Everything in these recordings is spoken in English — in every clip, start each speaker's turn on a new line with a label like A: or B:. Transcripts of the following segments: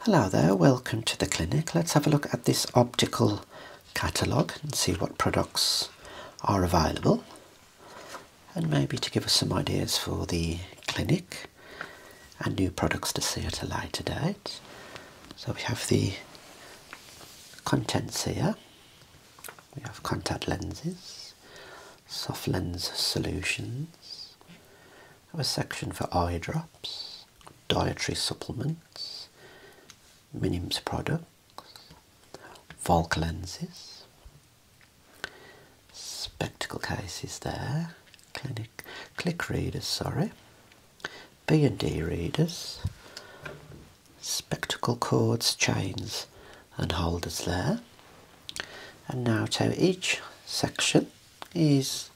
A: Hello there, welcome to the clinic. Let's have a look at this optical catalogue and see what products are available and maybe to give us some ideas for the clinic and new products to see at a later date. So we have the contents here. We have contact lenses, soft lens solutions, have a section for eye drops, dietary supplements, Minims products, Volk lenses, spectacle cases there, click readers, sorry, B and D readers, spectacle cords, chains and holders there. And now to each section is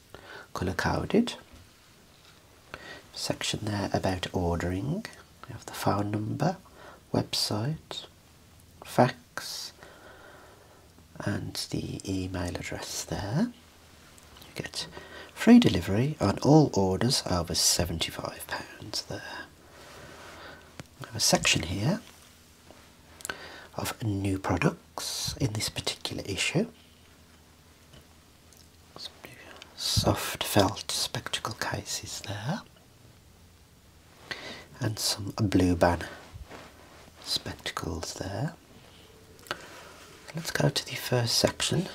A: colour coded section there about ordering You have the phone number website fax and the email address there you get free delivery on all orders over 75 pounds there we have a section here of new products in this particular issue. Some soft felt spectacle cases there, and some blue band spectacles there. Let's go to the first section.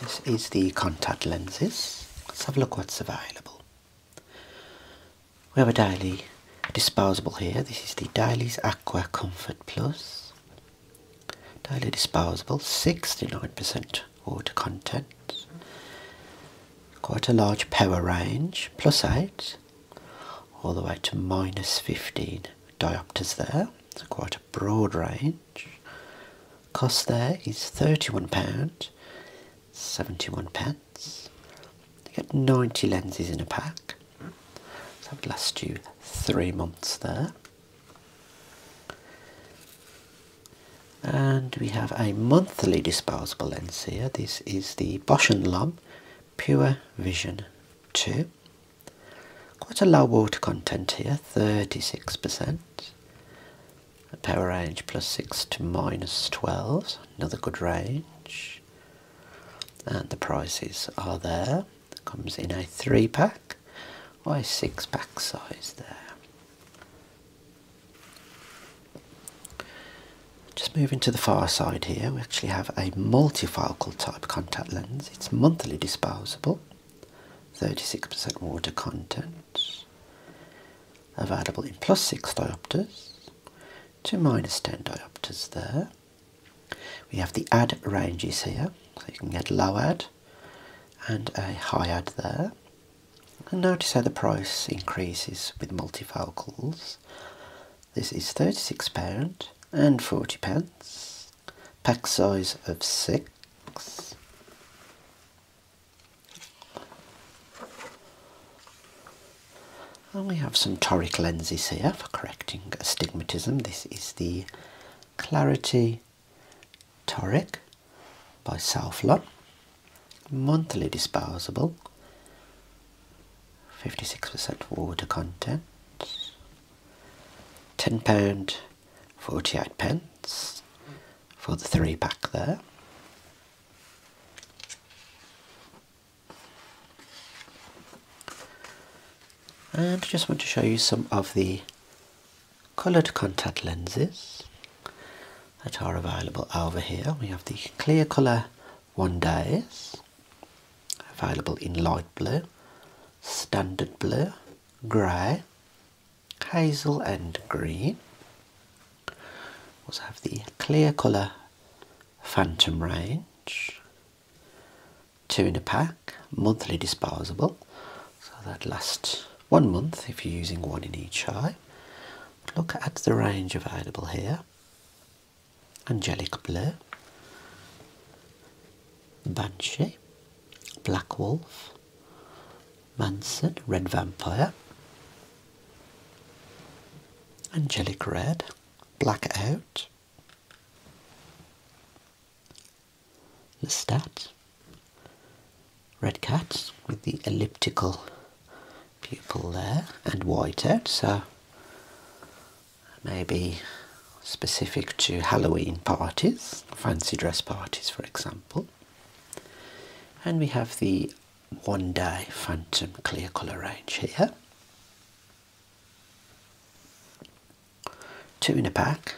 A: This is the contact lenses. Let's have a look what's available. We have a daily disposable here. This is the Dailies Aqua Comfort Plus. Daily disposable, 69% water content. Quite a large power range, plus 8, all the way to minus 15 diopters there. quite a broad range. Cost there is £31, 71 pence lens. get 90 lenses in a pack. So that would last you three months there. And we have a monthly disposable lens here. This is the Bosch and Lomb Pure Vision 2. Quite a low water content here, 36%. A power range plus 6 to minus 12, another good range. And the prices are there. It comes in a three pack or a six pack size there. Just moving to the far side here, we actually have a multifocal type contact lens. It's monthly disposable, 36% water content, available in plus 6 diopters two 10 diopters there. We have the add ranges here, so you can get low add and a high add there. And notice how the price increases with multifocals. This is £36 and 40 pence. Pack size of 6. And we have some toric lenses here for correcting astigmatism. This is the Clarity Toric by Southlon, monthly disposable, 56% water content, £10 48 pence for the three pack there. And just want to show you some of the coloured contact lenses that are available over here. We have the clear colour one days available in light blue, standard blue, grey, hazel and green. We Also have the clear colour Phantom range, two in a pack, monthly disposable, so that lasts one month if you're using one in each eye. look at the range available here Angelic Blue, Banshee, Black Wolf, Manson, Red Vampire, Angelic Red, black it out. The stat. Red cat with the elliptical pupil there and white out, so maybe specific to Halloween parties, fancy dress parties for example. And we have the one day phantom clear colour range here. Two in a pack,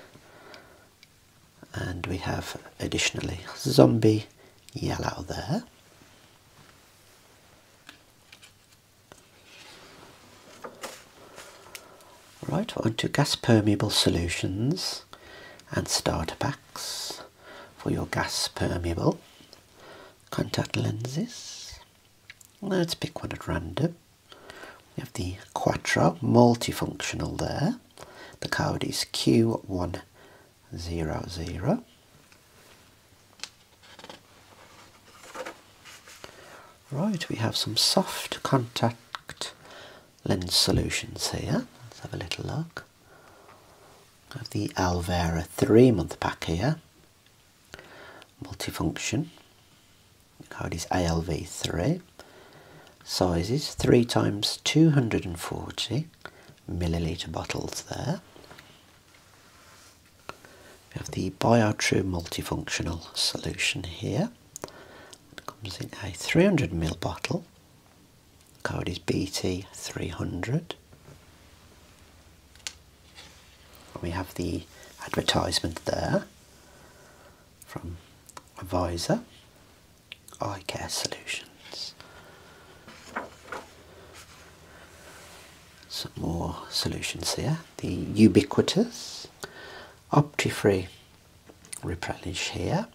A: and we have additionally zombie yellow there. Right, on to gas permeable solutions and starter packs for your gas permeable contact lenses. Let's pick one at random. We have the Quattro multifunctional there. The code is Q100. Right, we have some soft contact lens solutions here. Let's have a little look. We have the Alvera three month pack here multifunction Code is ALV3 sizes 3 times 240 milliliter bottles there we have the BioTrue multifunctional solution here it comes in a 300 ml bottle code is BT300 we have the advertisement there from Advisor Eye Care Solutions. Some more solutions here. The ubiquitous Optifree replenish here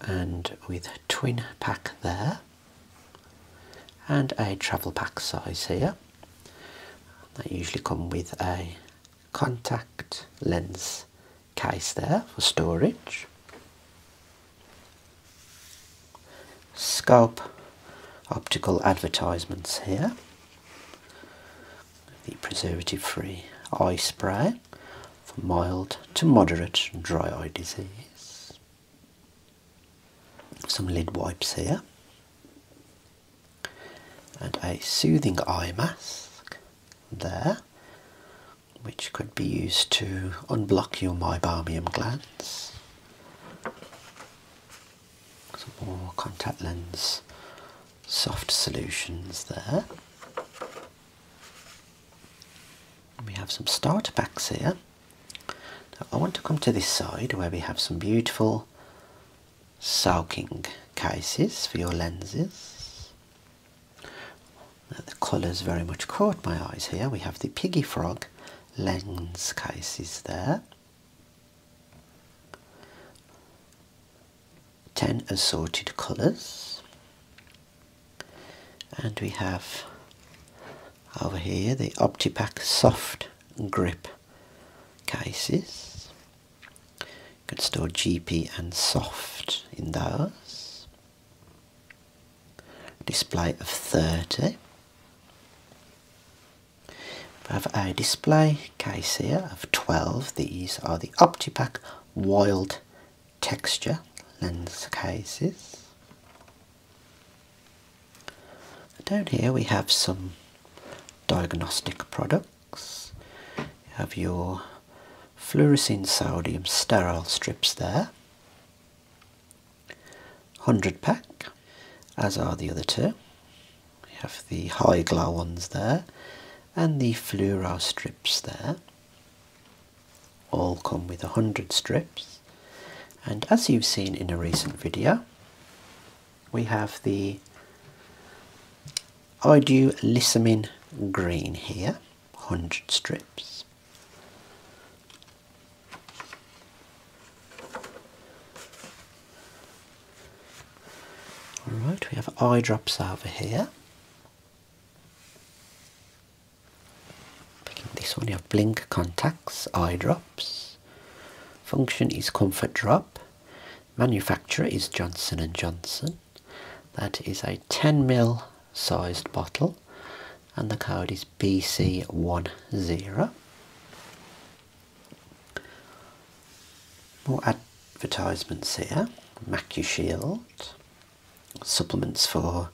A: and with twin pack there and a travel pack size here. They usually come with a contact lens case there for storage. Scope optical advertisements here. The preservative free eye spray for mild to moderate dry eye disease some lid wipes here, and a soothing eye mask there, which could be used to unblock your meibomium glands. Some more contact lens soft solutions there. we have some starter packs here. I want to come to this side where we have some beautiful sulking cases for your lenses. the colours very much caught my eyes here. We have the piggy frog lens cases there. 10 assorted colours and we have over here the OptiPack soft grip cases can store GP and soft in those display of 30 we have a display case here of 12 these are the OptiPack wild texture lens cases. Down here we have some diagnostic products. You have your fluorescein sodium sterile strips there. 100 pack, as are the other two. You have the high glow ones there and the fluoro strips there all come with 100 strips and as you've seen in a recent video we have the Idulissamine green here 100 strips Alright, we have eye drops over here this one, you have blink contacts, eye drops. Function is comfort drop. Manufacturer is Johnson and Johnson. That is a 10 ml sized bottle, and the code is BC10. More advertisements here. MacuShield supplements for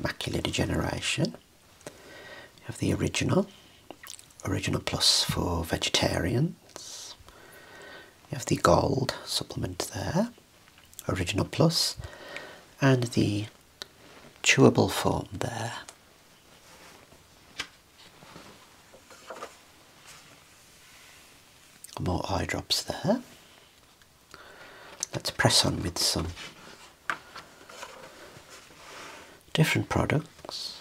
A: macular degeneration. You have the original, original plus for vegetarians. You have the gold supplement there, original plus, and the chewable form there. More eye drops there. Let's press on with some different products.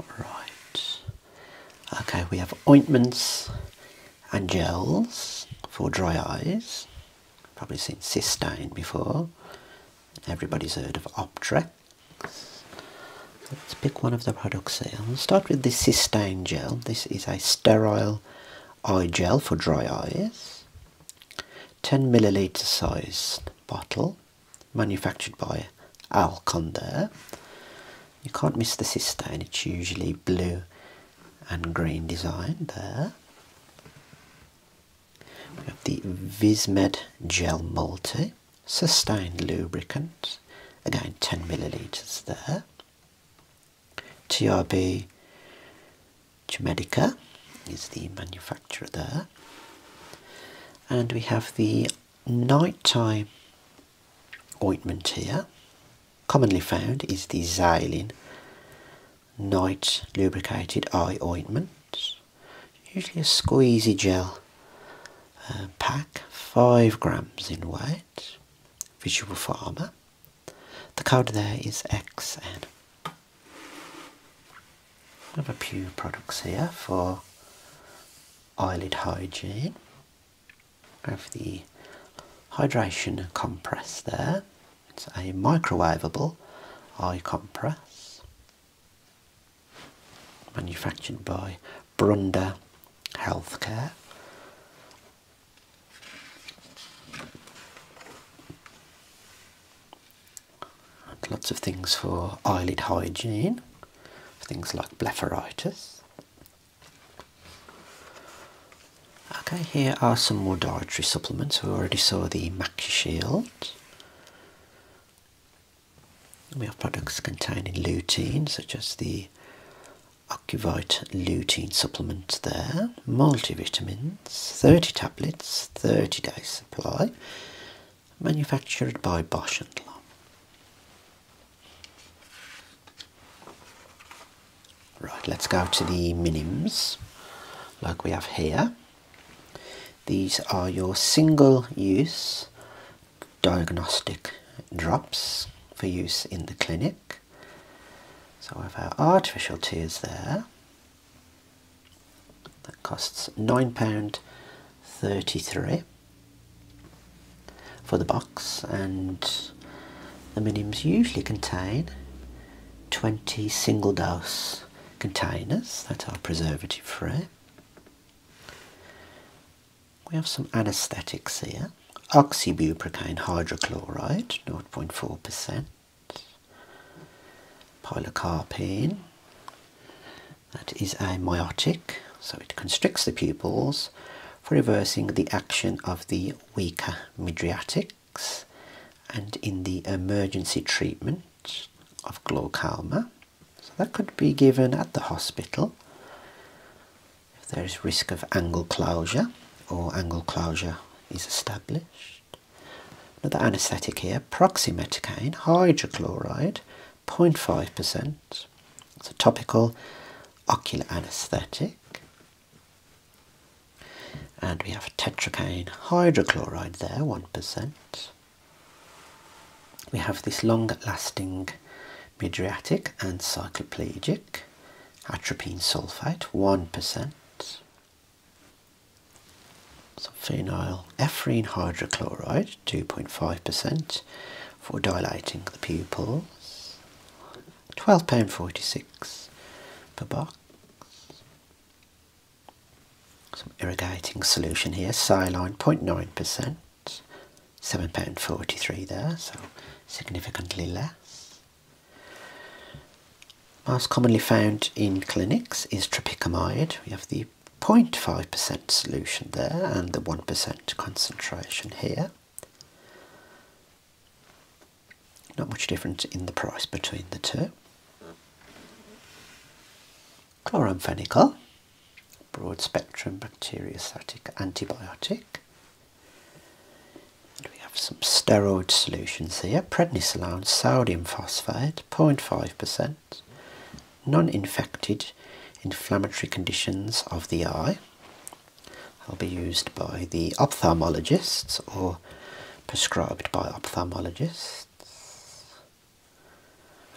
A: Alright, okay, we have ointments and gels for dry eyes. Probably seen cystine before. Everybody's heard of Optrex. Let's pick one of the products here. We'll start with the Cystane Gel. This is a sterile eye gel for dry eyes. 10 milliliter size bottle, manufactured by Alcondor. You can't miss the cystine, it's usually blue and green design there. We have the Vismed Gel Multi Sustained Lubricant, again 10 millilitres there. TRB Gemedica is the manufacturer there. And we have the nighttime ointment here. Commonly found is the Xylin night lubricated eye ointment, usually a squeezy gel uh, pack, 5 grams in weight, Visual Farmer. The code there is XN. have a few products here for eyelid hygiene. We have the hydration compress there. It's a microwavable eye compress manufactured by Brunda Healthcare. lots of things for eyelid hygiene, things like blepharitis. Okay, here are some more dietary supplements. We already saw the AcuShield. We have products containing lutein, such as the Ocuvite lutein supplement there, multivitamins, 30 tablets, 30 days supply, manufactured by Bosch and Lomb. Right, let's go to the minims, like we have here. These are your single use diagnostic drops for use in the clinic. So we have our artificial tears there. That costs £9.33 for the box and the minims usually contain 20 single dose containers that are preservative free. We have some anaesthetics here. Oxybuprocaine hydrochloride, 0.4%. Pilocarpine, that is a myotic, so it constricts the pupils for reversing the action of the weaker midriatic and in the emergency treatment of glaucoma. So that could be given at the hospital if there is risk of angle closure or angle closure is established. Another anaesthetic here, proximethicone, hydrochloride, 0.5%. It's a topical ocular anaesthetic. And we have tetracaine hydrochloride there, 1%. We have this long-lasting midriatic and cycloplegic atropine sulfate, 1%. Some phenyl ephrine hydrochloride, 2.5% for dilating the pupils, £12.46 per box. Some irrigating solution here, Silane 0.9%, £7.43 there, so significantly less. Most commonly found in clinics is tropicamide. We have the 0.5% solution there and the 1% concentration here. Not much difference in the price between the two. Chloramphenicol, broad spectrum bacteriostatic antibiotic. we have some steroid solutions here. Prednisolone, sodium phosphate, 0.5%. Non-infected inflammatory conditions of the eye. They'll be used by the ophthalmologists or prescribed by ophthalmologists.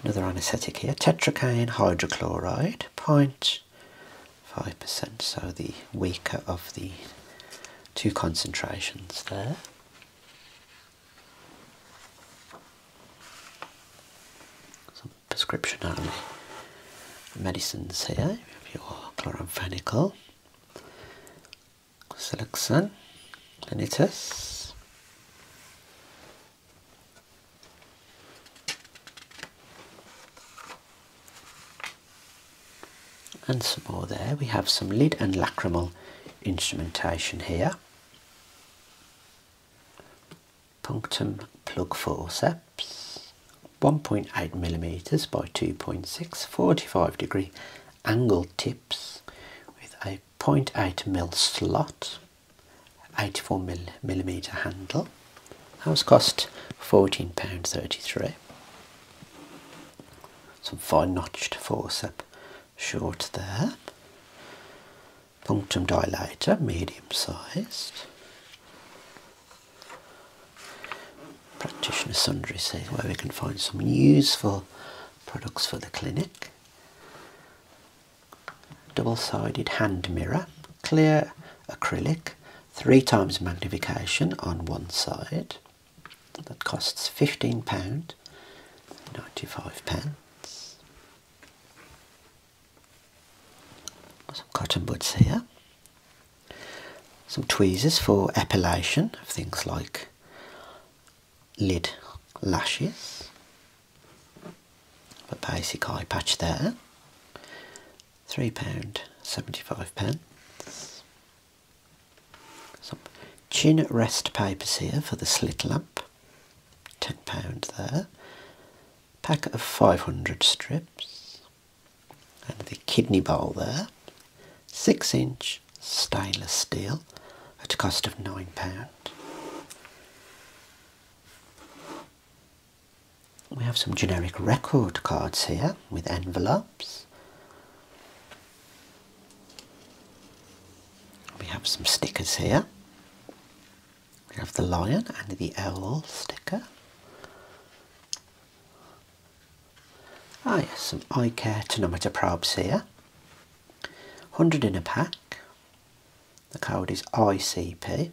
A: Another anaesthetic here, tetracaine hydrochloride, 0.5%, so the weaker of the two concentrations there. Some prescription only medicines here, If you're chloramphenicol, selection and it is, and some more there we have some lid and lacrimal instrumentation here punctum plug forceps 1.8 millimeters by two point six, forty-five 45 degree angle tips with a 0.8 mil slot, 84 mil millimeter handle. That was cost £14.33. Some fine notched forceps, short there. Punctum dilator, medium sized practitioner sundry says where we can find some useful products for the clinic. Double-sided hand mirror, clear acrylic, three times magnification on one side. That costs £15, 95 pence. Some cotton buds here. Some tweezers for epilation of things like lid lashes. A basic eye patch there. Three pound seventy five pence. Some chin rest papers here for the slit lamp. Ten pound there. Packet of five hundred strips. And the kidney bowl there. Six inch stainless steel at a cost of £9. We have some generic record cards here with envelopes. We have some stickers here. We have the lion and the owl sticker. Ah yes, some eye care tonometer probes here. 100 in a pack. The code is ICP.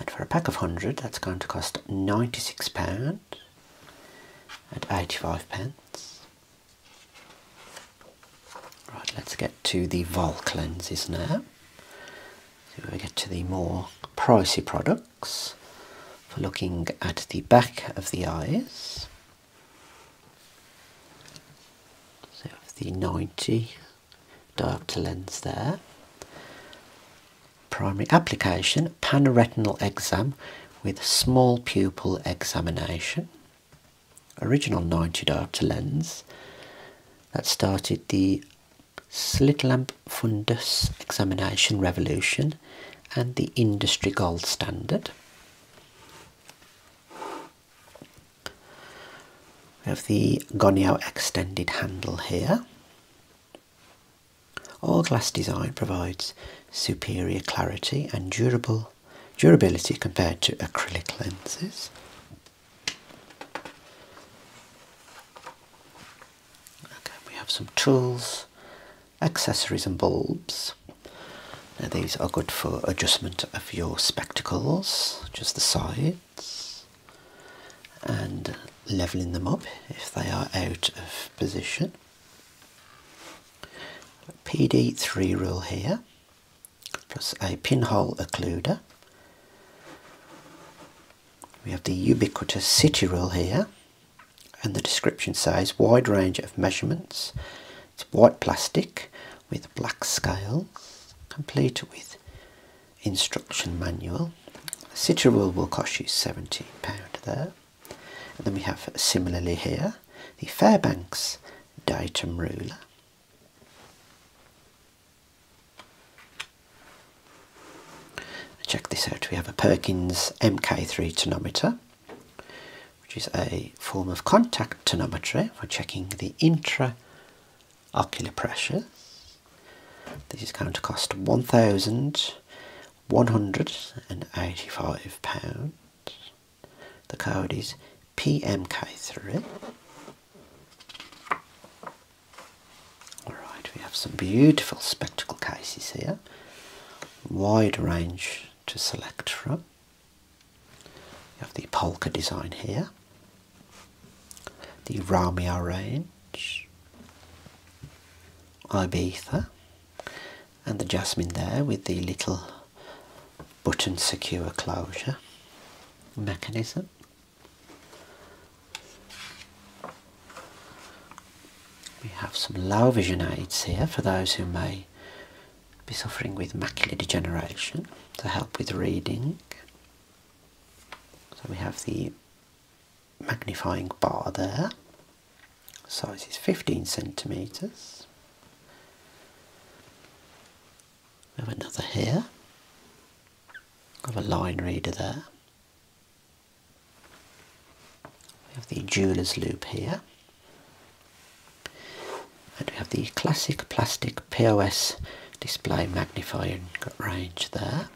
A: And for a pack of 100, that's going to cost £96 at 85 pence. Right, let's get to the Vol lenses now. So we get to the more pricey product for looking at the back of the eyes. So the 90 diopter lens there. Primary application, panoretinal exam with small pupil examination. Original 90 diopter lens that started the slit lamp fundus examination revolution and the industry gold standard. We have the Gonio extended handle here. All glass design provides superior clarity and durable durability compared to acrylic lenses. Okay, we have some tools, accessories, and bulbs. Now, these are good for adjustment of your spectacles, just the sides, and leveling them up if they are out of position. PD3 rule here, plus a pinhole occluder. We have the ubiquitous city rule here, and the description says wide range of measurements. It's white plastic with black scale, complete with instruction manual. The sitter rule will cost you £70 there. And then we have similarly here the Fairbanks datum ruler. Check this out, we have a Perkins MK3 tonometer which is a form of contact tonometry for checking the intraocular pressure. This is going to cost £1,185. The code is PMK3. Alright, we have some beautiful spectacle cases here wide range to select from. You have the polka design here, the Romeo range, Ibiza, and the jasmine there with the little button secure closure mechanism. We have some low vision aids here for those who may be suffering with macular degeneration to help with reading. So we have the magnifying bar there. Size is 15 centimetres. We have another here. We have a line reader there. We have the jeweler's loop here. And we have the classic plastic POS display magnifying range there.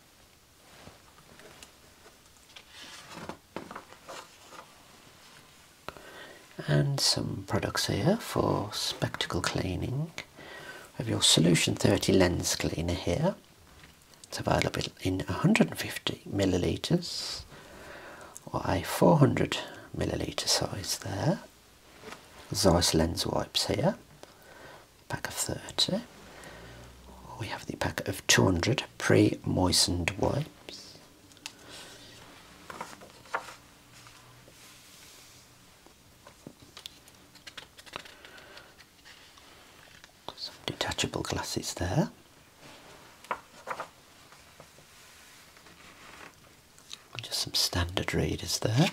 A: And some products here for spectacle cleaning. We have your Solution 30 lens cleaner here. It's available in 150 milliliters or a 400 milliliter size there. Zeiss lens wipes here, pack of 30. We have the pack of 200 pre-moistened wipes. Some detachable glasses there. just some standard readers there.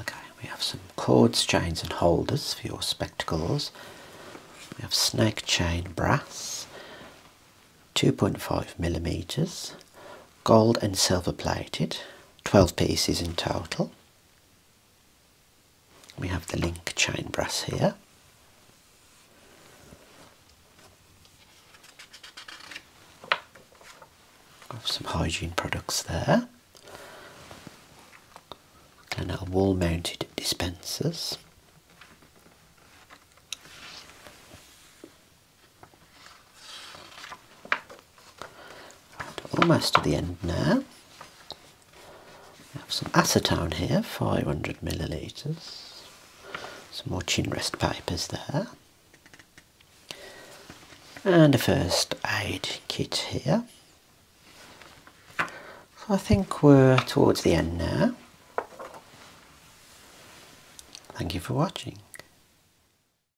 A: Okay, we have some cords, chains and holders for your spectacles. We have snake chain brass, 2.5 millimeters gold and silver plated 12 pieces in total we have the link chain brass here have some hygiene products there and our wall mounted dispensers almost to the end now. We have some acetone here, 500 millilitres. Some more chin rest papers there. And a first aid kit here. So I think we're towards the end now. Thank you for watching.